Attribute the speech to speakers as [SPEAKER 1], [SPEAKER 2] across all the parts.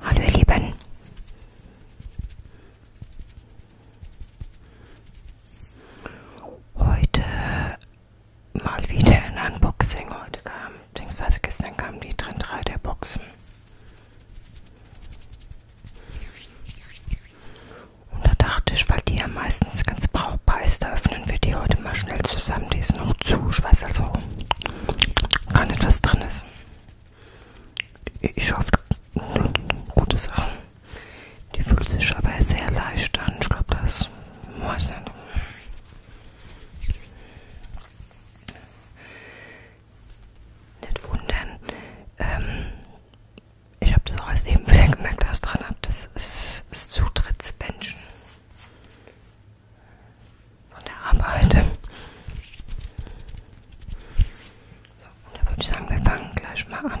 [SPEAKER 1] Hallo ihr Lieben. Heute mal wieder ein Unboxing. Heute kam, beziehungsweise gestern kamen die drin drei der Boxen. Und da dachte ich, weil die ja meistens ganz brauchbar ist, da öffnen wir die heute mal schnell zusammen. Die ist noch zu, ich weiß also gar nicht, was drin ist. Ich hoffe, gute Sachen. Die fühlt sich aber sehr leicht an. Ich glaube, das weiß nicht. Nicht wundern. Ähm, ich habe das auch erst eben wieder gemerkt, dass ich dran habe. Das ist das Zutrittsbändchen von der Arbeit. So, und da würde ich sagen, wir fangen gleich mal an.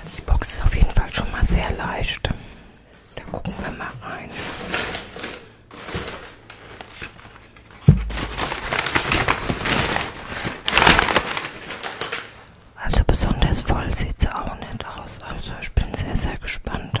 [SPEAKER 1] Also die Box ist auf jeden Fall schon mal sehr leicht. Da gucken wir mal rein. Also besonders voll sieht es auch nicht aus. Also ich bin sehr, sehr gespannt.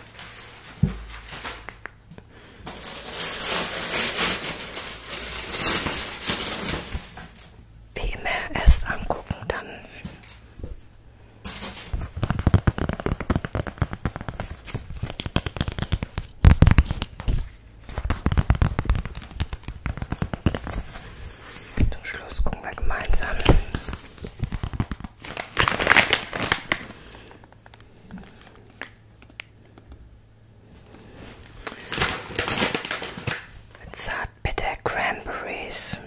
[SPEAKER 1] Wie immer erst angucken, dann. Zum Schluss gucken wir gemeinsam. Zartbitter Cranberries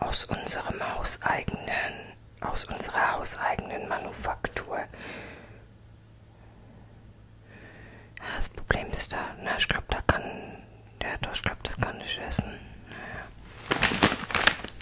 [SPEAKER 1] aus unserem hauseigenen, aus unserer hauseigenen Manufaktur. Ja, das Problem ist da, na, ne, ich glaube, da kann, ja, doch, ich glaube, das kann ich essen. Naja.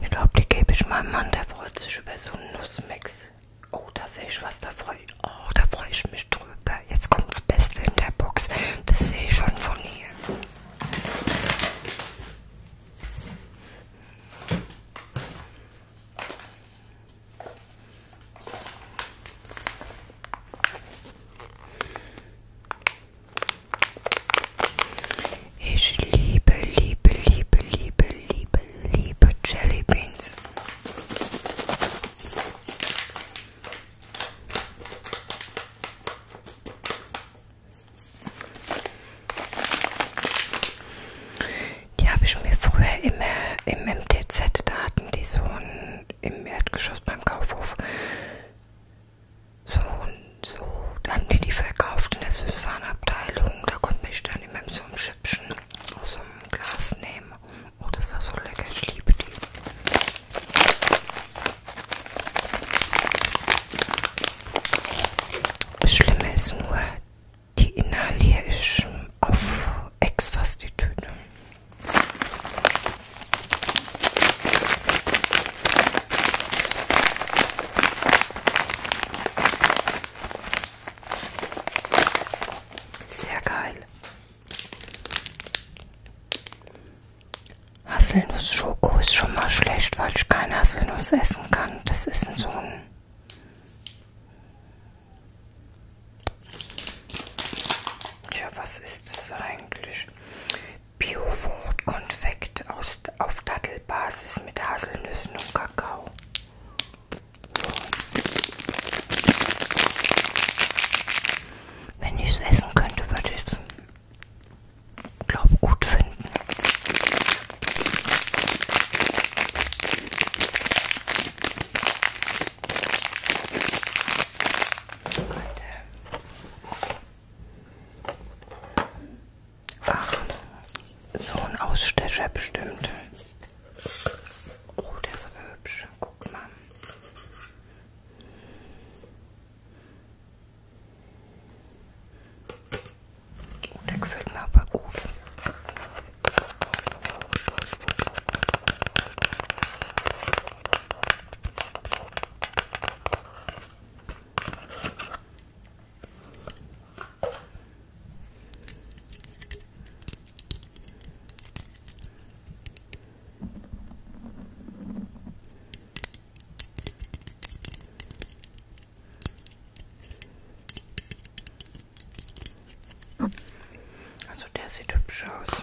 [SPEAKER 1] Ich glaube, die gebe ich meinem Mann, der freut sich über so einen Nussmix. Oh, da sehe ich was, da freue ich, oh, da freu ich mich drüber. Jetzt kommt das Beste in der Box. Das sehe ich schon von hier. Ich liebe, liebe, liebe, liebe, liebe, liebe Jelly Beans. Die habe ich mir früher immer im MTZ, da hatten die so einen, im Erdgeschoss beim Kaufhof so einen so, da haben die die verkauft in der Süßwarenabteilung. Da konnte ich dann immer so ein Schippchen aus so einem Glas nehmen. Oh, das war so lecker. Ich liebe die. Das Schlimme ist nur, die inhaliere ich auf Ex fast die Tüte. Sehr geil. Haselnuss Schoko ist schon mal schlecht, weil ich keine Haselnuss essen kann. Das ist so ein Tja, was ist das eigentlich? Biofruchtkonfekt aus auf Dattelbasis mit Haselnüssen und Kakao. Wenn ich es essen könnte, würde ich es, glaube gut finden. Alter. Ach, so ein Ausstecher bestimmt. Oh, der ist so hübsch. Guck mal. Oh, der gefällt mir aber gut. Also der sieht hübsch aus.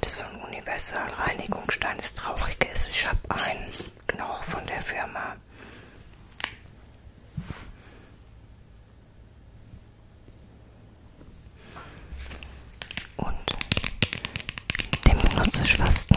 [SPEAKER 1] Das ist so ein Universalreinigungsstein. Das Traurige ist, ich habe einen, genau von der Firma. Und den benutze ich fast nie.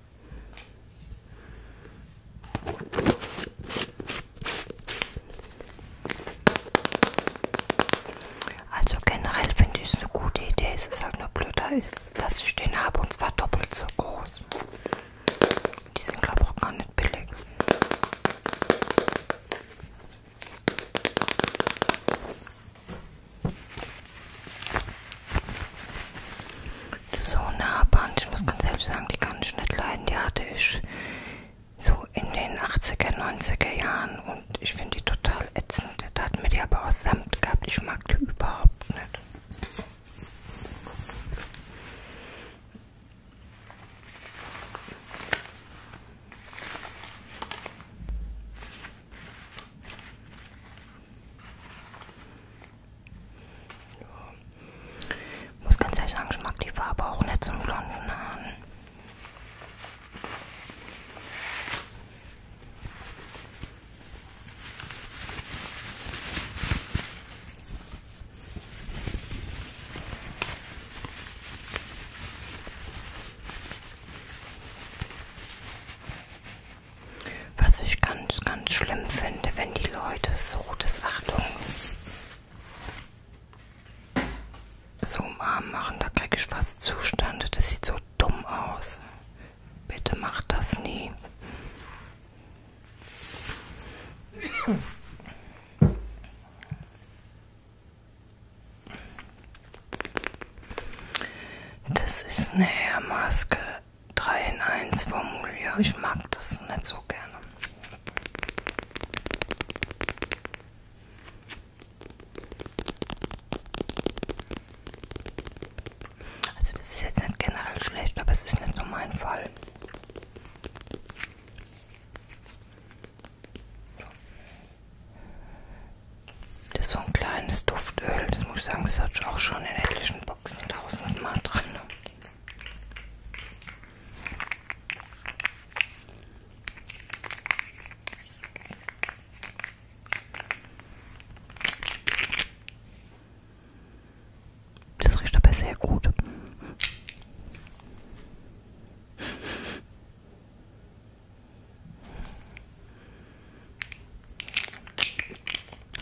[SPEAKER 1] Also generell finde ich es eine gute Idee. Es ist halt nur blöd, dass ich den habe und zwar doppelt so groß. Die sind glaube ich auch gar nicht billig so nah Band. Ich muss ganz ehrlich sagen, die kann ich nicht leiden. Die hatte ich so in den 80er, 90er Jahren und ich finde die total ätzend. Da hat mir die aber auch Samt gehabt. Ich mag die überhaupt nicht. Ja. Muss ganz ehrlich sagen, ich mag die Farbe auch nicht zum blonden Haaren. Was ich ganz, ganz schlimm finde, wenn die Leute so, das Achtung, so umarmen machen, da kriege ich fast Zustände. Das sieht so dumm aus. Bitte macht das nie. Das ist eine Hairmaske. 3 in 1 Formulier. Ich mag das nicht so gerne. Also das ist jetzt nicht generell schlecht, aber es ist nicht so mein Fall. Das ist so ein kleines Duftöl, das muss ich sagen, das hatte ich auch schon in etlichen Boxen tausendmal drin. Das riecht aber sehr gut.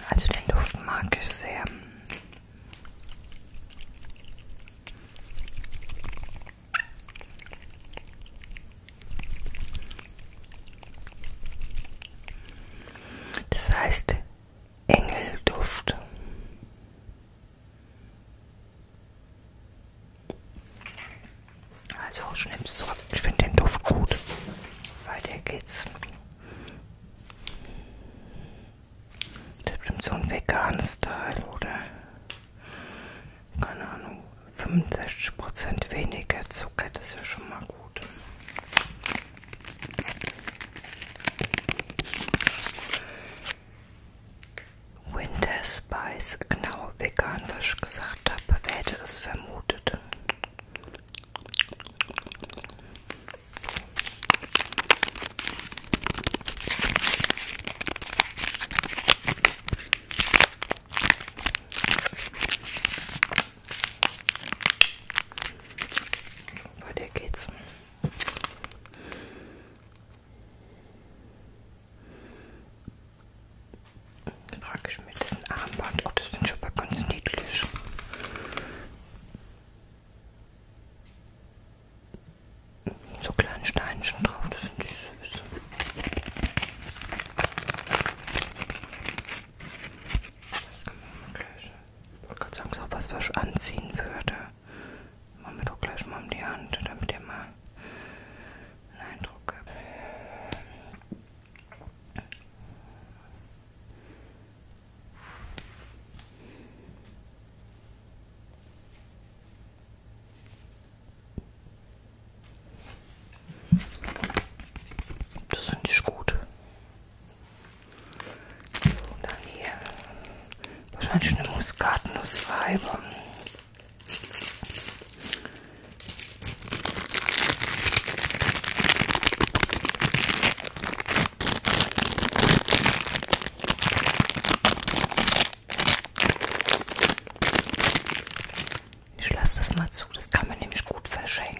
[SPEAKER 1] Also den Duft mag ich sehr. Das heißt Engelduft. Also schnipp's zurück. Ich finde den Duft gut. Weiter geht's. Das ist bestimmt so ein veganes Teil, oder? Keine Ahnung. 65% weniger Zucker, das ist ja schon mal gut. Winter Spice, genau vegan, was ich gesagt habe, wer hätte es vermutet. Weiter geht's. Frage ich mir, das ist ein Armband. Oh, das finde ich aber ganz niedlich so kleinen Steinchen drauf, das finde ich süß. Das kann man gleich. Ich wollte gerade sagen, so was, was ich anziehen würde. Machen wir doch gleich mal um die Hand, damit ihr mal einen Eindruck habt. Das finde ich gut. So, dann hier. Wahrscheinlich eine Muskatnussreibe. Ich lasse das mal zu, das kann man nämlich gut verschenken.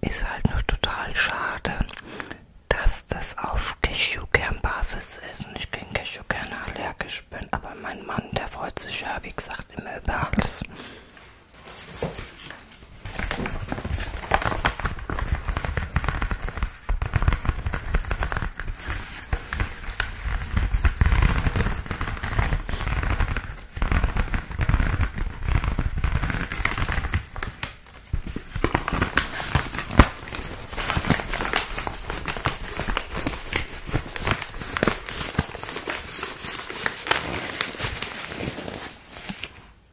[SPEAKER 1] Ist halt nur total schade, dass das auf Cashewkernbasis ist und ich gegen Cashewkerne allergisch bin. Aber mein Mann, der freut sich ja, wie gesagt, immer über alles.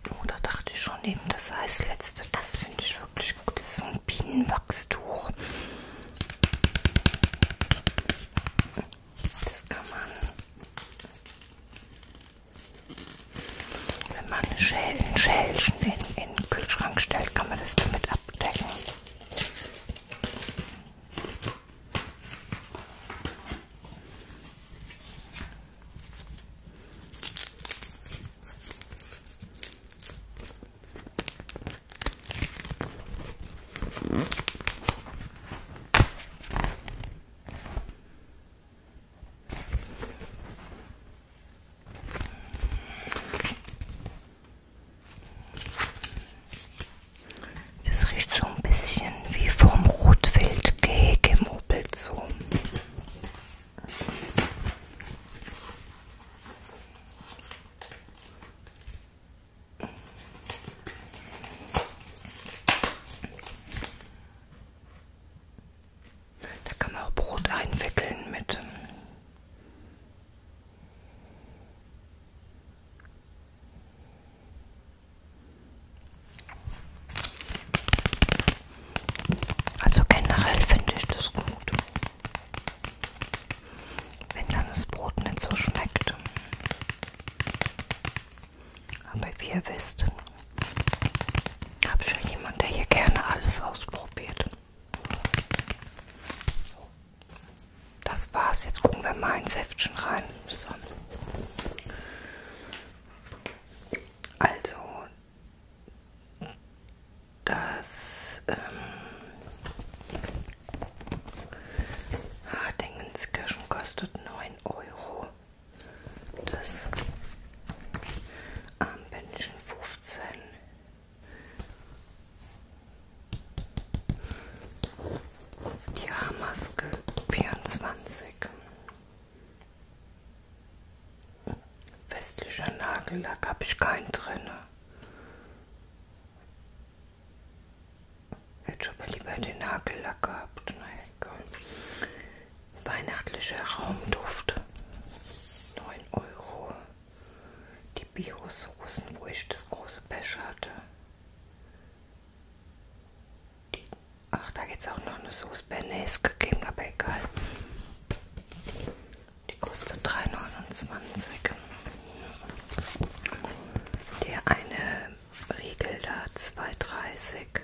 [SPEAKER 1] Oh, da dachte ich schon eben, das sei das letzte. Das finde ich wirklich gut. Das ist so ein Bienenwachstuch. Das kann man, wenn man ein Schälchen, Schälchen in, in den Kühlschrank stellt, kann man das damit abdecken. Das riecht so ein bisschen wie vom Rotwild gemuppelt so. Da kann man auch Brot einwickeln mit. Ähm, also generell finde ich das gut wenn dann das Brot nicht so schmeckt. Aber wie ihr wisst, habe schon jemand, der hier gerne alles ausprobiert. Das war's. Jetzt gucken wir mal ins Heftchen rein. So. Also, das ähm, Ach, Dingenskirchen kostet 9 Euro. Das Armbändchen 15. Die Haarmaske 24. Westlicher Nagellack habe ich keinen drin. Hätte schon mal lieber den Nagellack gehabt. Naja, komm. Weihnachtlicher Raumduft. 9 Euro. Die Bio-Soßen, wo ich das große Pech hatte. Die, ach, da geht es auch noch eine Soße Bernays gegeben, aber egal. Die kostet 3,29. Der eine Riegel da, 2,30.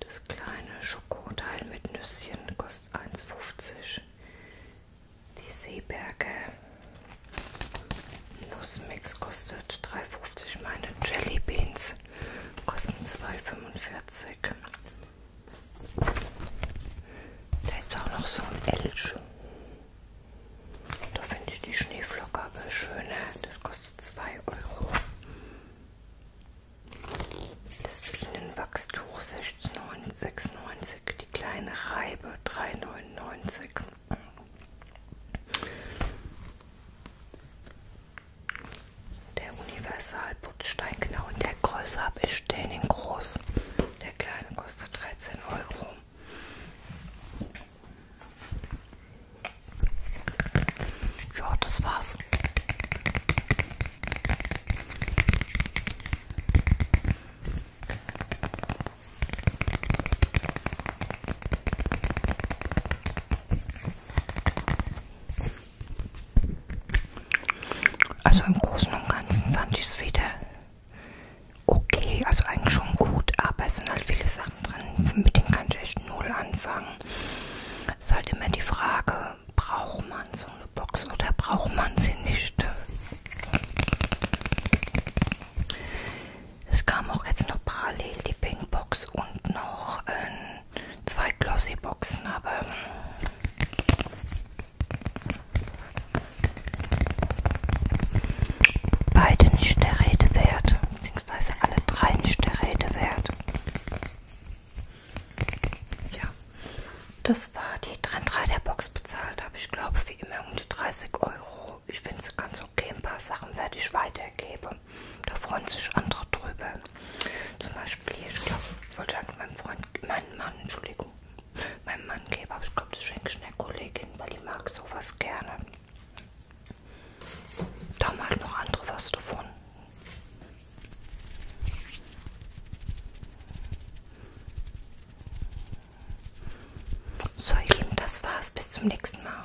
[SPEAKER 1] Das kleine Schokoteil mit Nüsschen kostet 1,50. Die Seeberge Nussmix kostet 3,50. Meine Jelly Beans kosten 2,45. Da ist auch noch so ein Elch. Da finde ich die Schneeflocke aber schöner. Das kostet 2 Euro. Das ist ein Wachstuch 6,96. Die kleine Reibe 3,99. Der Universalputz Stein, genau in der Größe habe ich den in groß. Der kleine kostet 13,99 Euro. Ja, das war's. Also im Großen und Ganzen fand ich es wieder okay, also eigentlich schon gut, aber es sind halt viele Sachen drin, mit denen kann ich echt null anfangen. Es ist halt immer die Frage, braucht man so eine Box oder braucht man sie nicht? Es kam auch jetzt noch parallel die Pinkbox und noch äh, zwei Glossy-Boxen, aber Beide nicht der Rede wert, beziehungsweise alle drei nicht der Rede wert. Ja, das war die Trend 3 der Box bezahlt. Habe ich glaube wie immer um die 30 Euro. Ich finde es ganz okay. Ein paar Sachen werde ich weitergeben. Da freuen sich andere drüber. Zum Beispiel, ich glaube, es wollte halt mein Freund, mein Mann, Entschuldigung, meinem Mann gebe. Aber ich glaube, das schenke ich einer Kollegin, weil die mag sowas gerne. Da haben halt noch andere was davon. So ihr Lieben, das war's. Bis zum nächsten Mal.